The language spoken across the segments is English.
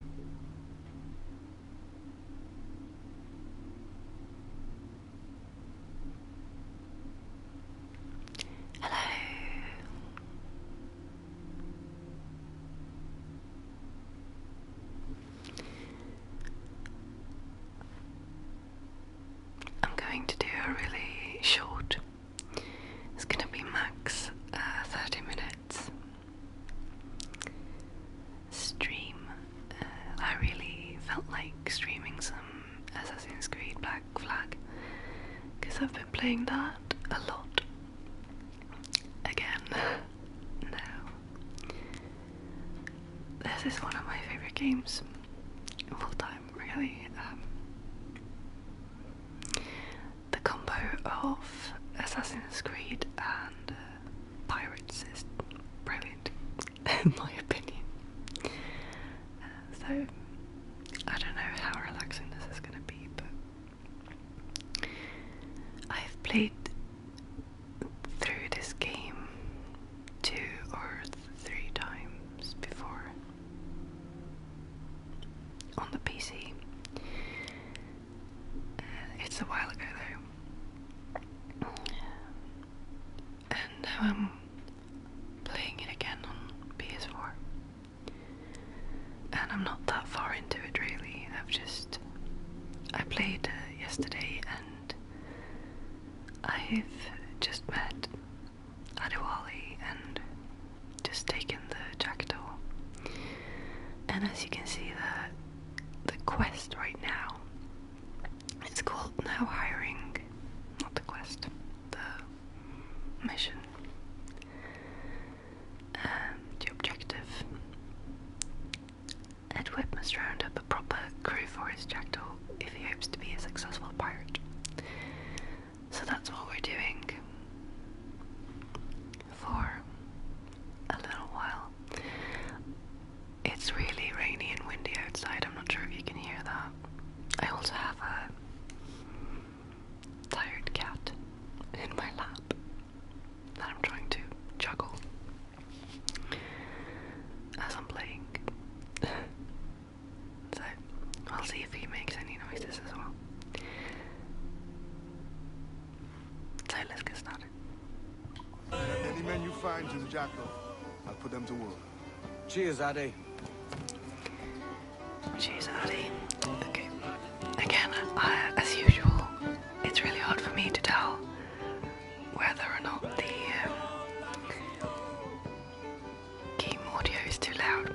Hello. I'm going to do a really short. It's going to be max uh, 30 minutes stream. Uh, I really felt like streaming some Assassin's Creed Black Flag because I've been playing that a lot. Again, no. This is one of my favourite games, full time, really. Um, the combo of Assassin's Creed and uh, Pirates is brilliant, in my opinion. so, I don't know how relaxing this is going to be, but I've played through this game two or three times before on the PC. Uh, it's a while ago though. And now I'm playing it again on PS4. And I'm not that far into it really. I've just. I played uh, yesterday and I've just met Adewale and just taken the jackdaw. And as you can see, that the quest right now. It's called now Hiring. Not the quest, the mission. Um, the objective. Edward must round up a proper crew for his jackdaw if he hopes to be a successful pirate. So that's what we're doing for a little while. It's really rainy and windy outside. I'm not sure if you can hear that. I also have a tired cat in my lap that I'm trying to juggle as I'm playing. so I'll see if he makes any noises as well. So let's get started. Any men you find, Jim Jocko, I'll put them to work. Cheers, Adi. Cheers, Adi. Okay. Again, as usual, it's really hard for me to tell whether or not the um, game audio is too loud.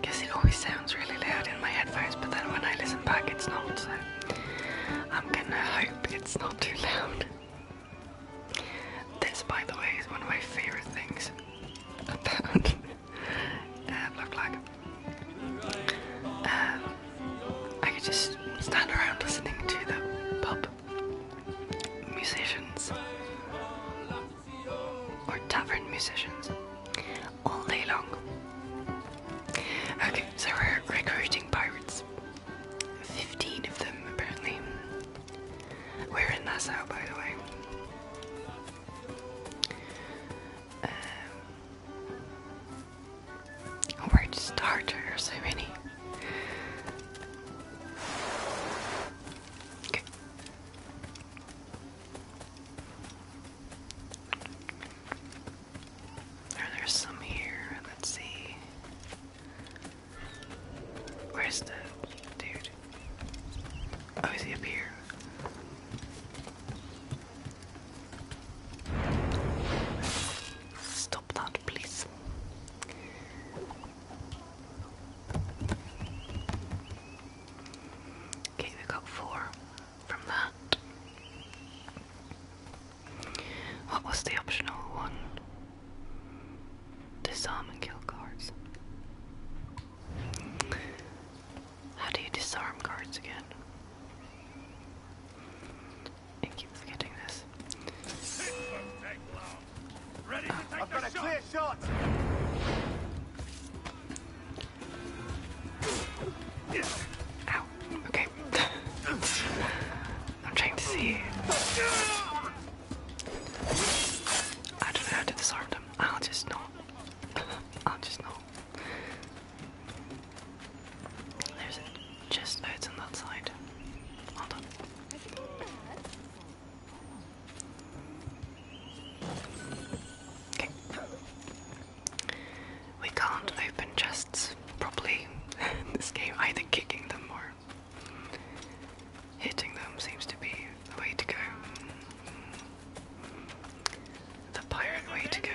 Because it always sounds really loud in my headphones, but then when I listen back, it's not, so. I'm gonna hope it's not too loud. This, by the way, is one of my favourite things about uh, Look Like. Uh, I could just stand around listening to the pub musicians or tavern musicians all day long. Okay, so we're recruiting pirates. 15 of them, apparently. We're in Nassau, by the way. Um, where so many. Okay. Or there's some here. Let's see. Where's the dude? Oh, he up Stop that, please. Okay, we got four from that. What was the optional one? Disarm and kill cards. How do you disarm cards again? I keep forgetting this. I've got a clear shot! Ow okay. I'm trying to see. I don't know how to disarm them. I'll just know. I'll just know. There's a chest on that side. Hold on. Okay. We can't open chests properly this game, either kicking them or hitting them seems to be the way to go. The pirate way to go.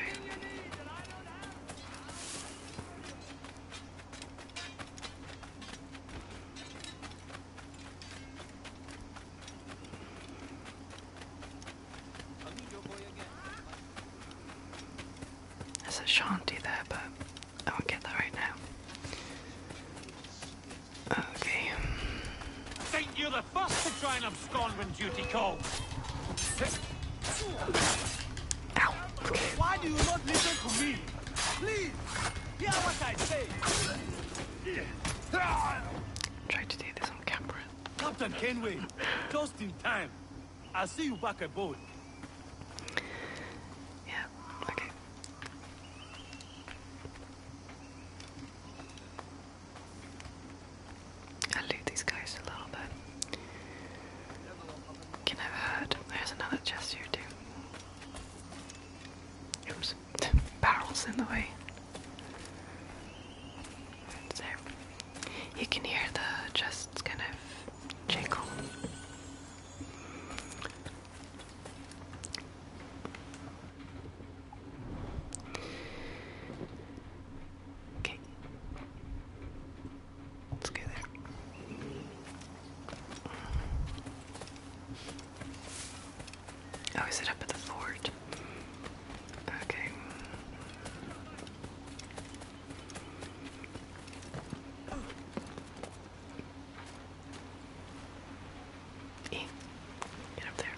There's a shanty there, but I won't get that right now. Okay. think you're the first to try and abscond when duty calls. Ow. Okay. Why do you not listen to me? Please, hear what I say. Try to do this on camera. Captain Kenway, just in time. I'll see you back aboard. Yeah, okay. I'll loot these guys a little bit. Can I have There's another chest here too. Oops, barrels in the way. there. You can hear the chests kind of jingle. Okay. Let's go there. Oh, is it up at the fort? Okay. Get up there.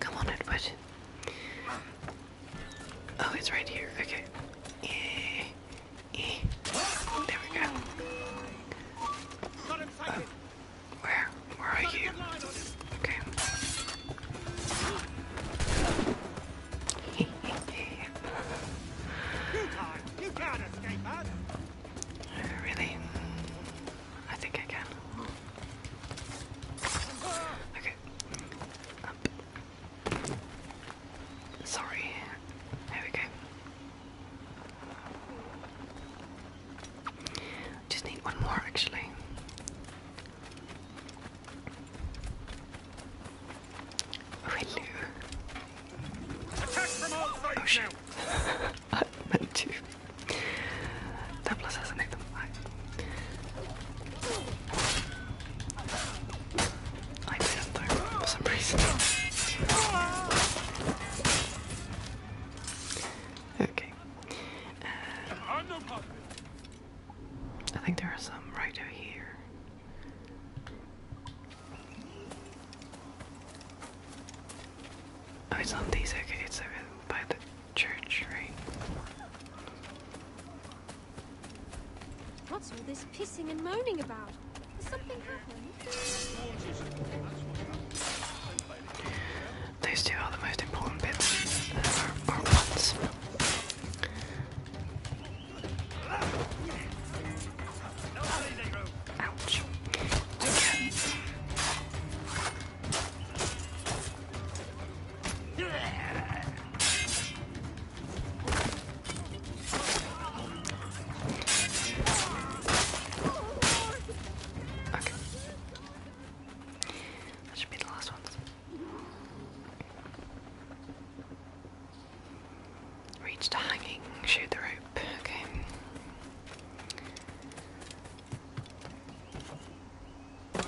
Come on, Edward. Oh, it's right here. Okay. E. Eh, eh. There we go. Oh, where? Where are you? Okay. Uh, really? I think I can. Okay. Up. Um, sorry. There we go. Just need one more actually. Hello. Oh shoot. I meant to. That plus hasn't hit for some reason. Okay. Uh, I think there are some right over here. Oh, it's not these, okay, it's over by the church, right? What's all this pissing and moaning about? Has something happened? Those two are the most important bits, uh, ones. Ouch. Okay. Okay. That should be the last ones. Reach the hanging, shoot the rope, okay. Oh,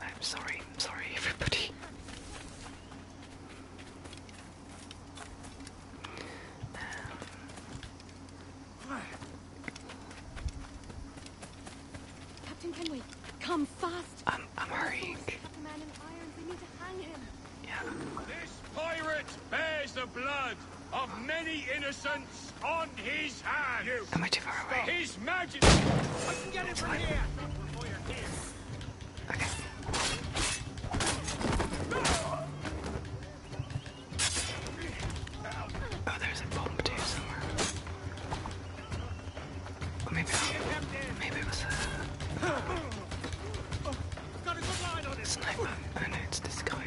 I'm sorry, sorry everybody. Um, Captain Kenway, come fast. I'm, I'm hurrying. Yeah. This pirate bears the blood of many innocents on his hands. Am I too far away? His Majesty. I can get it from here. Okay. Oh, there's a bomb too somewhere. maybe maybe it was a sniper. Oh no, it's this guy.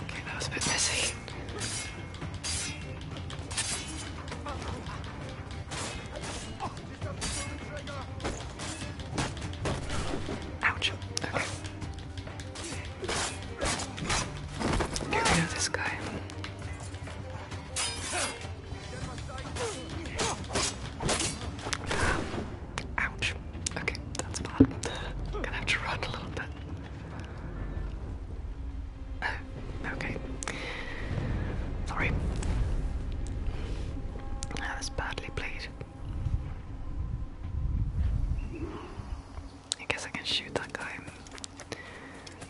Okay, that was a bit messy. Ouch. Okay. Get rid this guy. Ouch. Okay, that's bad. Gonna have to run a little bit. Uh, okay. Sorry. That was badly played. I guess I can shoot that guy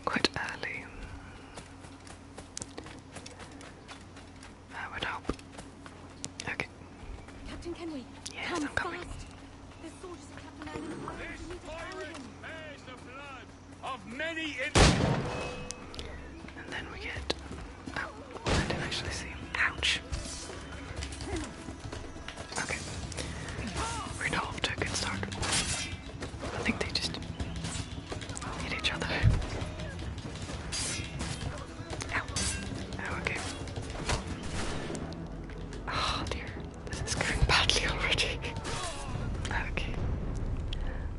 quite early. I would hope. Okay. Captain Kenway. Yes, come I'm coming. Fast. The soldiers of Captain Allen. This pirate bears the blood of many And then we get Oh, I didn't actually see. Ouch. Okay. Resolve good start. I think they just hit each other. Ow. Oh, okay. Oh dear. This is going badly already. okay.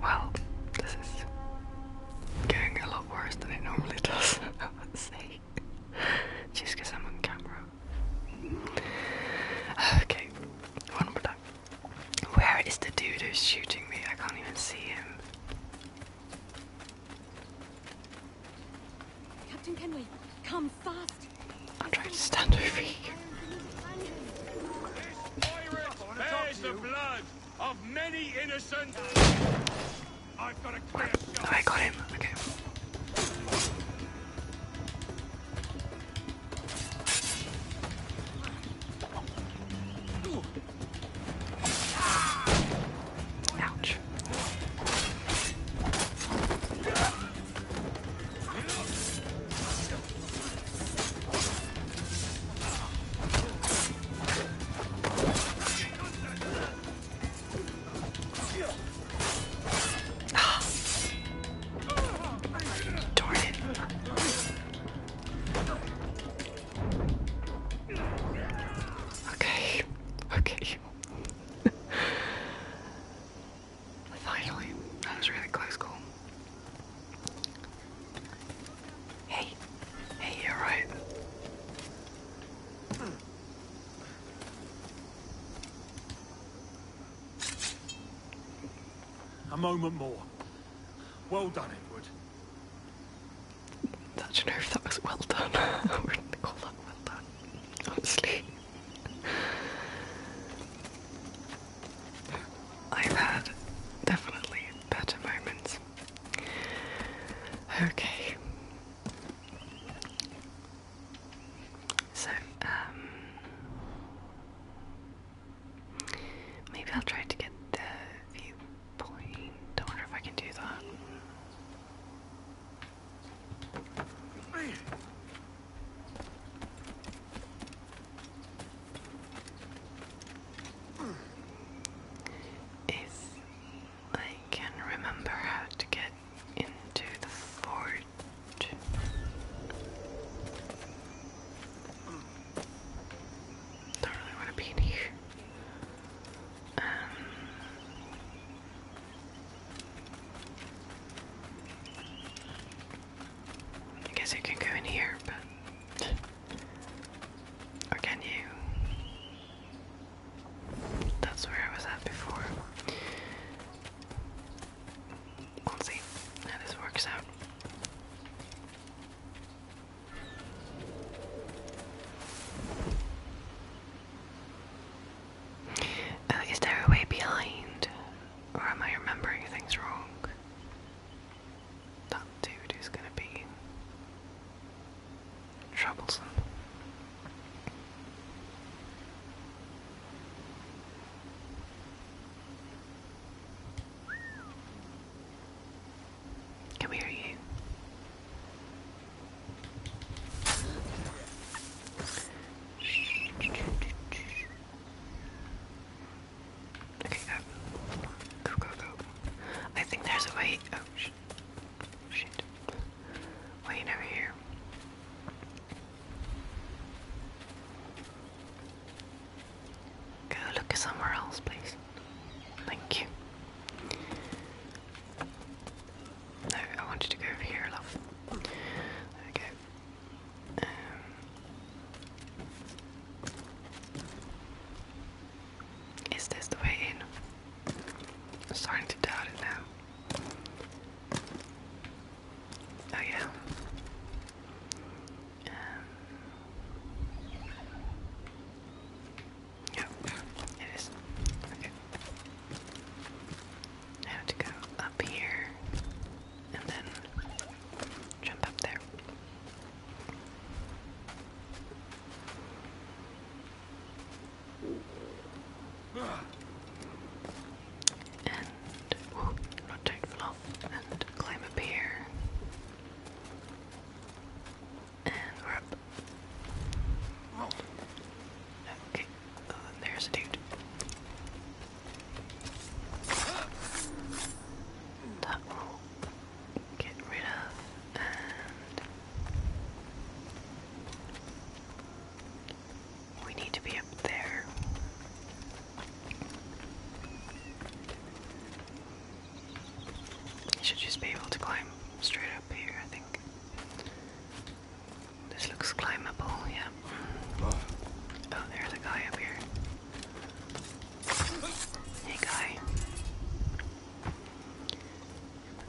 Well, this is getting a lot worse than it normally does, I would say. Just I'm on camera. Okay, one more time. Where is the dude who's shooting me? I can't even see him. Captain Kenway, come fast! I'm trying to stand over here. There's the blood! of many innocent. I've got a clear shot. I got him. Okay. Ouch. Darn it. Okay, okay. Finally, that was really close call. Hey, hey, you're right. Hmm. A moment more. Well done, Edward. I you know if that was well done. I wouldn't call that well done, honestly. I've had definitely better moments. Okay. So, um, maybe I'll try to get the viewpoint. I wonder if I can do that. If I can remember how to get into the fort. Don't really want to be here. Um, I guess I can go in here, but or can you? That's where I was at before. We'll see how this works out. Uh, is there a way behind? Or am I remembering things wrong? That dude is gonna be troublesome. Come here, you. Okay, go. Go, go, I think there's a way. Oh, shit. Wait over here. Go look somewhere else, please. Thank you. No, I wanted to go over here, love. Okay. Is this the way in? I'm starting to doubt it now. Oh yeah. Um. it is. Okay. I have to go up here and then jump up there. And not don't fall And climb up here. And we're up. Okay. Oh, there's a dude. That get rid of we need to be up there. should just be able to climb straight up here, I think. This looks climbable, yeah. Oh, there's a guy up here. Hey, guy.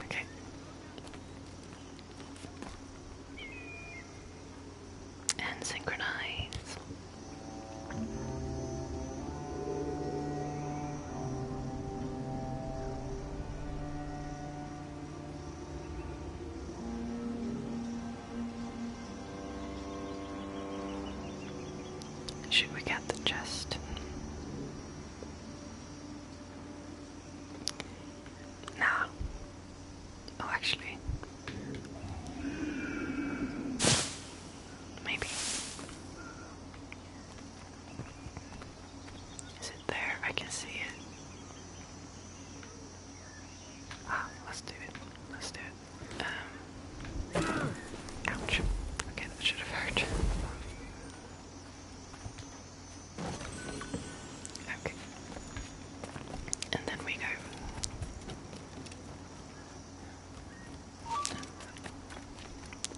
Okay. And synchronize. Should we get the chest? Nah. Oh, actually. Maybe. Is it there? I can see it. Ah, let's do it. Let's do it. Um, Ouch. Okay, that should have hurt. Okay. And then we go.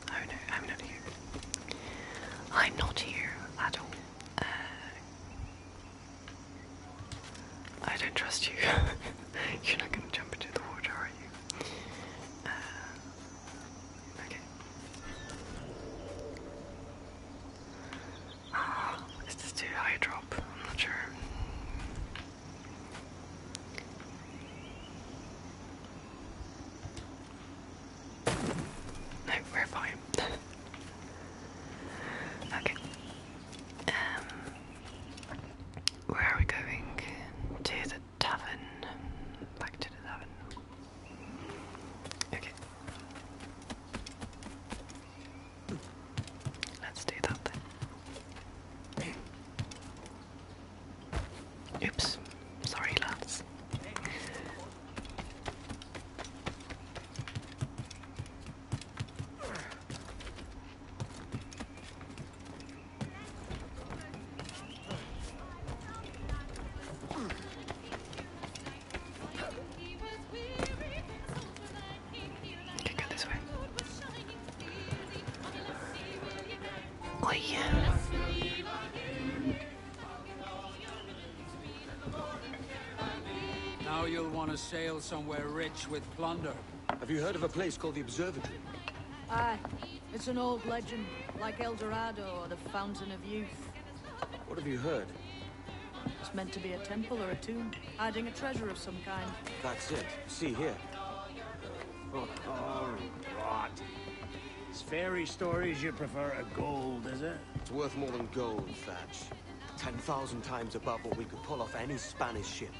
Oh no, I'm not here. I'm not here at all. Uh, I don't trust you. You're not going to jump into the water, are you? Uh, Okay. Uh, is too high drop? I'm not sure. No, we're fine. okay. Um, where are we going? To the tavern. Back to the tavern. Okay. Let's do that then. Oops. Sorry, lads. Can go this way. Oh yeah. Now you'll want to sail somewhere rich with plunder. Have you heard of a place called the Observatory? Aye. Uh, it's an old legend, like El Dorado or the Fountain of Youth. What have you heard? It's meant to be a temple or a tomb, hiding a treasure of some kind. That's it. See here. Uh, oh, rot. Oh, it's fairy stories you prefer a gold, is it? It's worth more than gold, Thatch. Ten thousand times above what we could pull off any Spanish ship.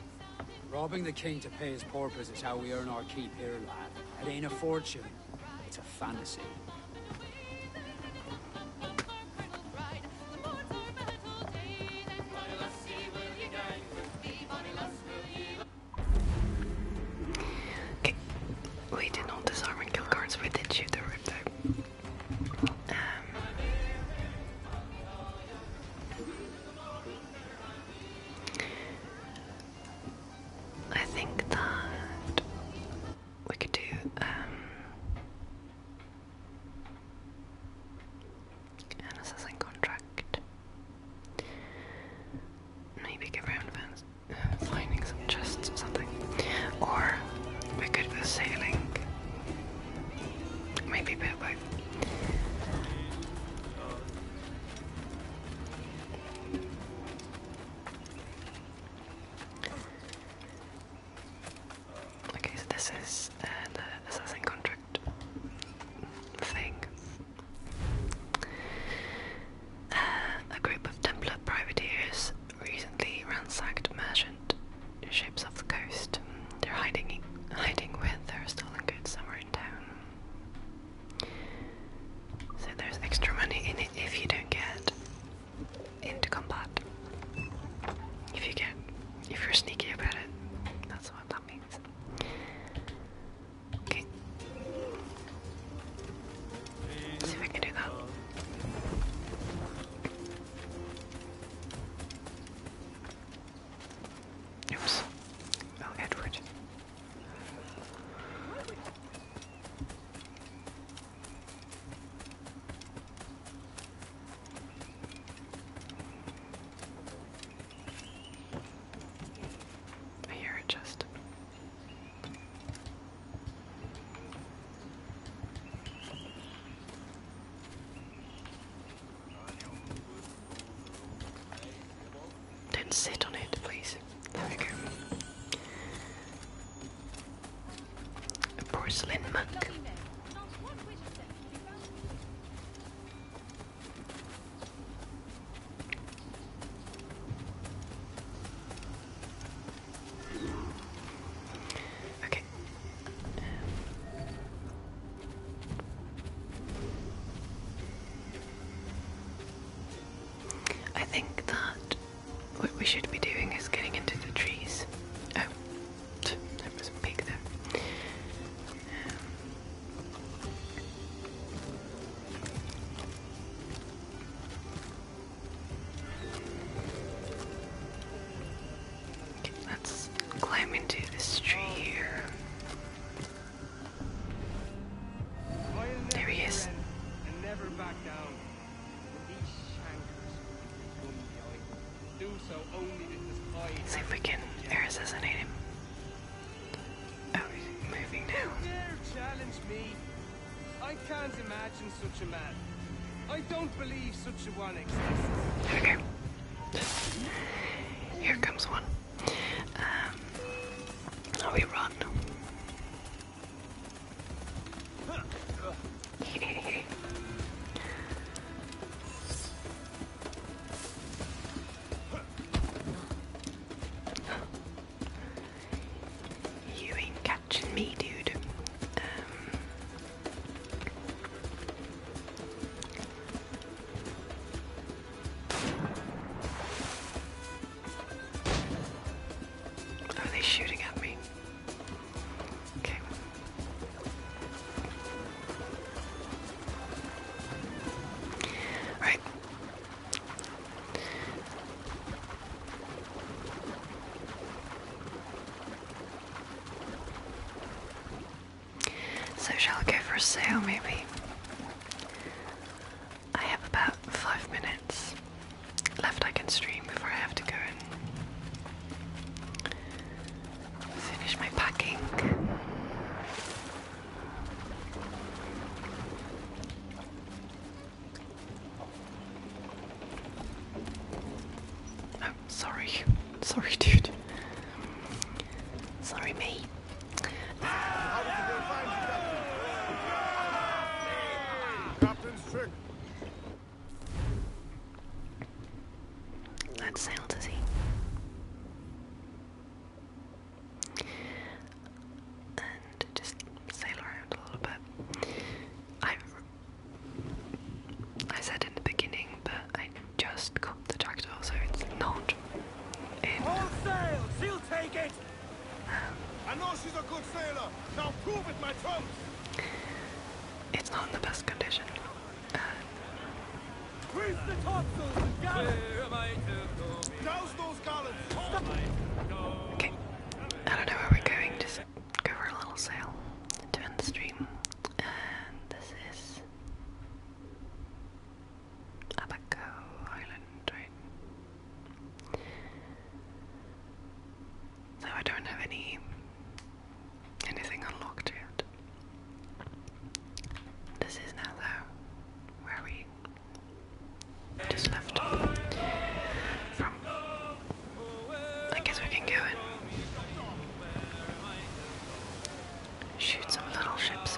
Robbing the king to pay his porpoise is how we earn our keep here, lad. It ain't a fortune. It's a fantasy. Okay. We did not disarm and kill guards. We did shoot the rip though. Um, I think that we could do um, an assassin contract. Maybe get round events. Uh, finding some chests or something. Or we could go sailing. Maybe a bit Okay, so this is uh, the assassin contract thing. Uh, a group of Templar privateers recently ransacked merchant ships off the coast. They're hiding, hiding with their stolen goods somewhere so there's extra money in it if you don't get into combat. If you get, if you're sneaky about it, that's what that means. Okay. See if I can do that. Oops. Oh, Edward. I hear it just. Don't sit on it, please. There we go. A porcelain monk. Okay. I think that what we should be doing is getting into the trees. Oh, there was a pig there. Um, let's climb into this tree here. There he is. See if we can air assassinate him. Oh, moving now. I can't imagine such a man. I don't believe such a one exists. Here comes one. Now um, we run. you ain't catching me, dude. Um, what are they shooting at me? Okay. All right. So shall go for sale maybe? I have about five minutes left I can stream before I have to go and finish my packing. Oh, sorry. Sorry, dude. Sorry, me. That sound is he. And just sail around a little bit. I I said in the beginning, but I just got the jackdaw, so it's not in. All sail! She'll take it! I know she's a good sailor. Now prove it, my chums. It's not in the best condition. Uh, okay. I don't know where we're going, just go for a little sail to the stream. And this is Abaco Island, right? No, I don't have any anything unlocked yet. This is now though where we just left from. I guess we can go and shoot some little ships.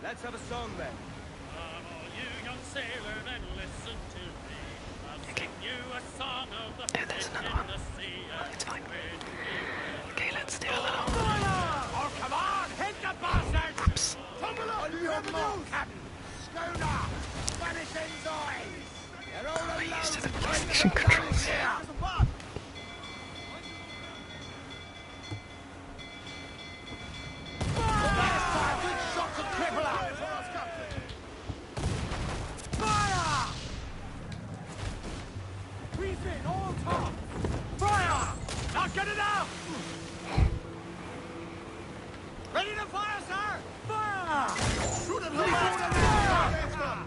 Let's have a song then. Come all you young sailor and listen to me. I'll okay. sing you a song of the yeah, there's another one. Oh, it's fine. Okay, let's do a little. Oops. Tumble up! On your mark, Captain! Schooner! Vanishing noise! They're all alone! the PlayStation controls. Fire! Now get it out! Ready to fire, sir! Fire! Shoot him, fire!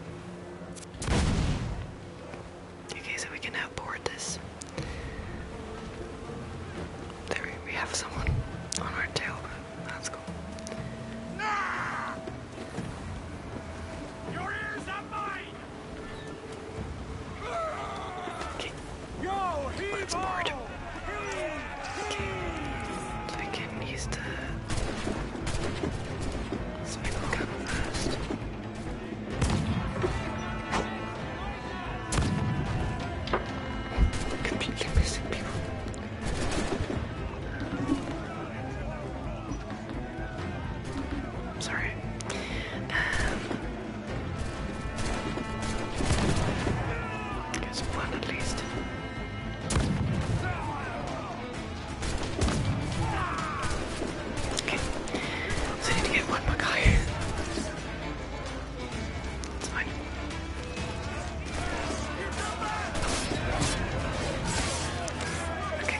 Okay, so we can now board this. There we have someone on our tail, but that's cool. Your ears are mine! Okay. Let's board. So I can use the sprinkle gun first. Completely missing people. sorry. Um, Guess one at least. Okay, I need to get one more guy. It's fine. Okay.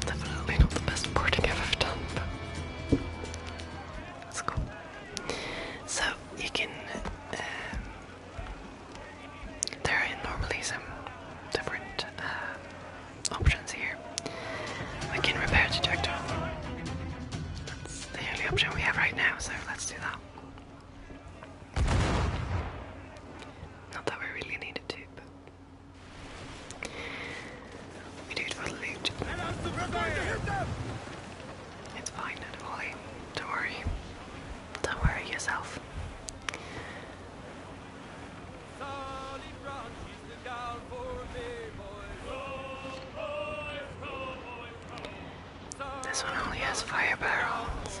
Definitely not the best boarding I've ever done, but that's cool. So you can. Um, there are normally some different uh, options here. We can repair the detector. That's the only option we have right now, so let's do that. Not that we really needed to, we do it for the loot. It's fine, Natalie. Don't worry. Don't worry yourself. This one only has fire barrels.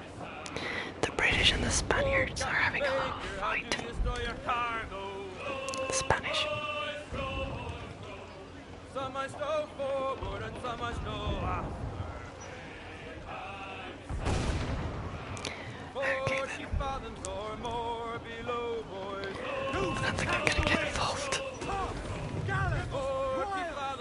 The British and the Spaniards are having a little fight. Spanish. I don't think I'm gonna get involved.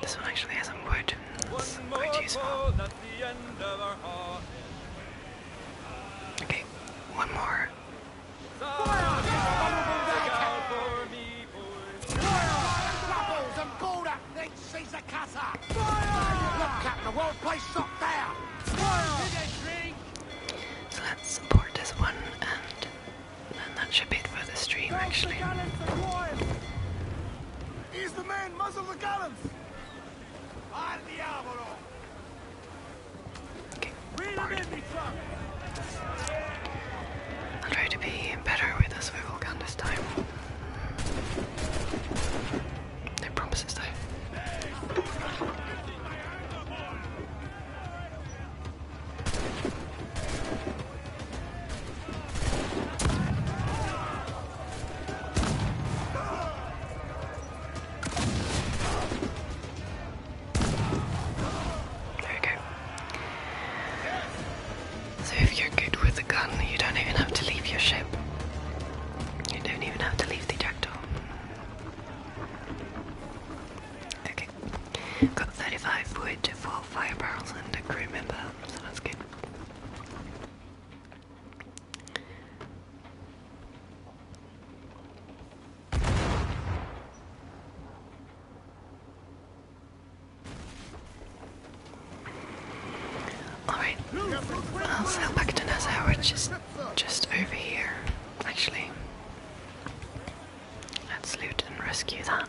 This one actually has some wood. That's quite useful. Okay, one more. So let's support this one, and then that should be for the stream, actually. He's the man! Muzzle the guns. Al diavolo! Okay, bored. I'll try to be better with a swivel gun this time. No promises though. There we go. So if you're good with a gun, you don't even have to leave your ship. You don't even have to leave the jackdaw. Okay. Got 35 wood, 4 fire barrels, and a crew member, so good. Alright, I'll sail back to Nassau, which is just over here, actually. Let's loot and rescue that.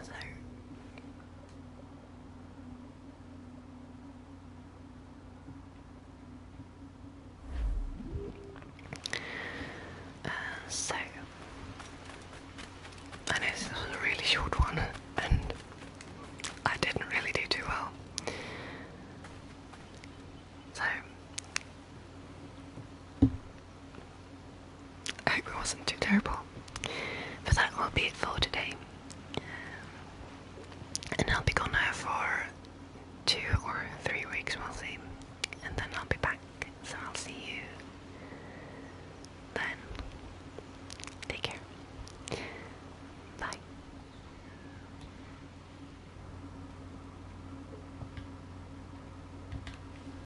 Uh, so, I know this was a really short one, and I didn't really do too well. So, I hope it wasn't too terrible. But that will be it for today. And I'll be gone now for two or three weeks, we'll see. And then I'll be back. So I'll see you then. Take care. Bye.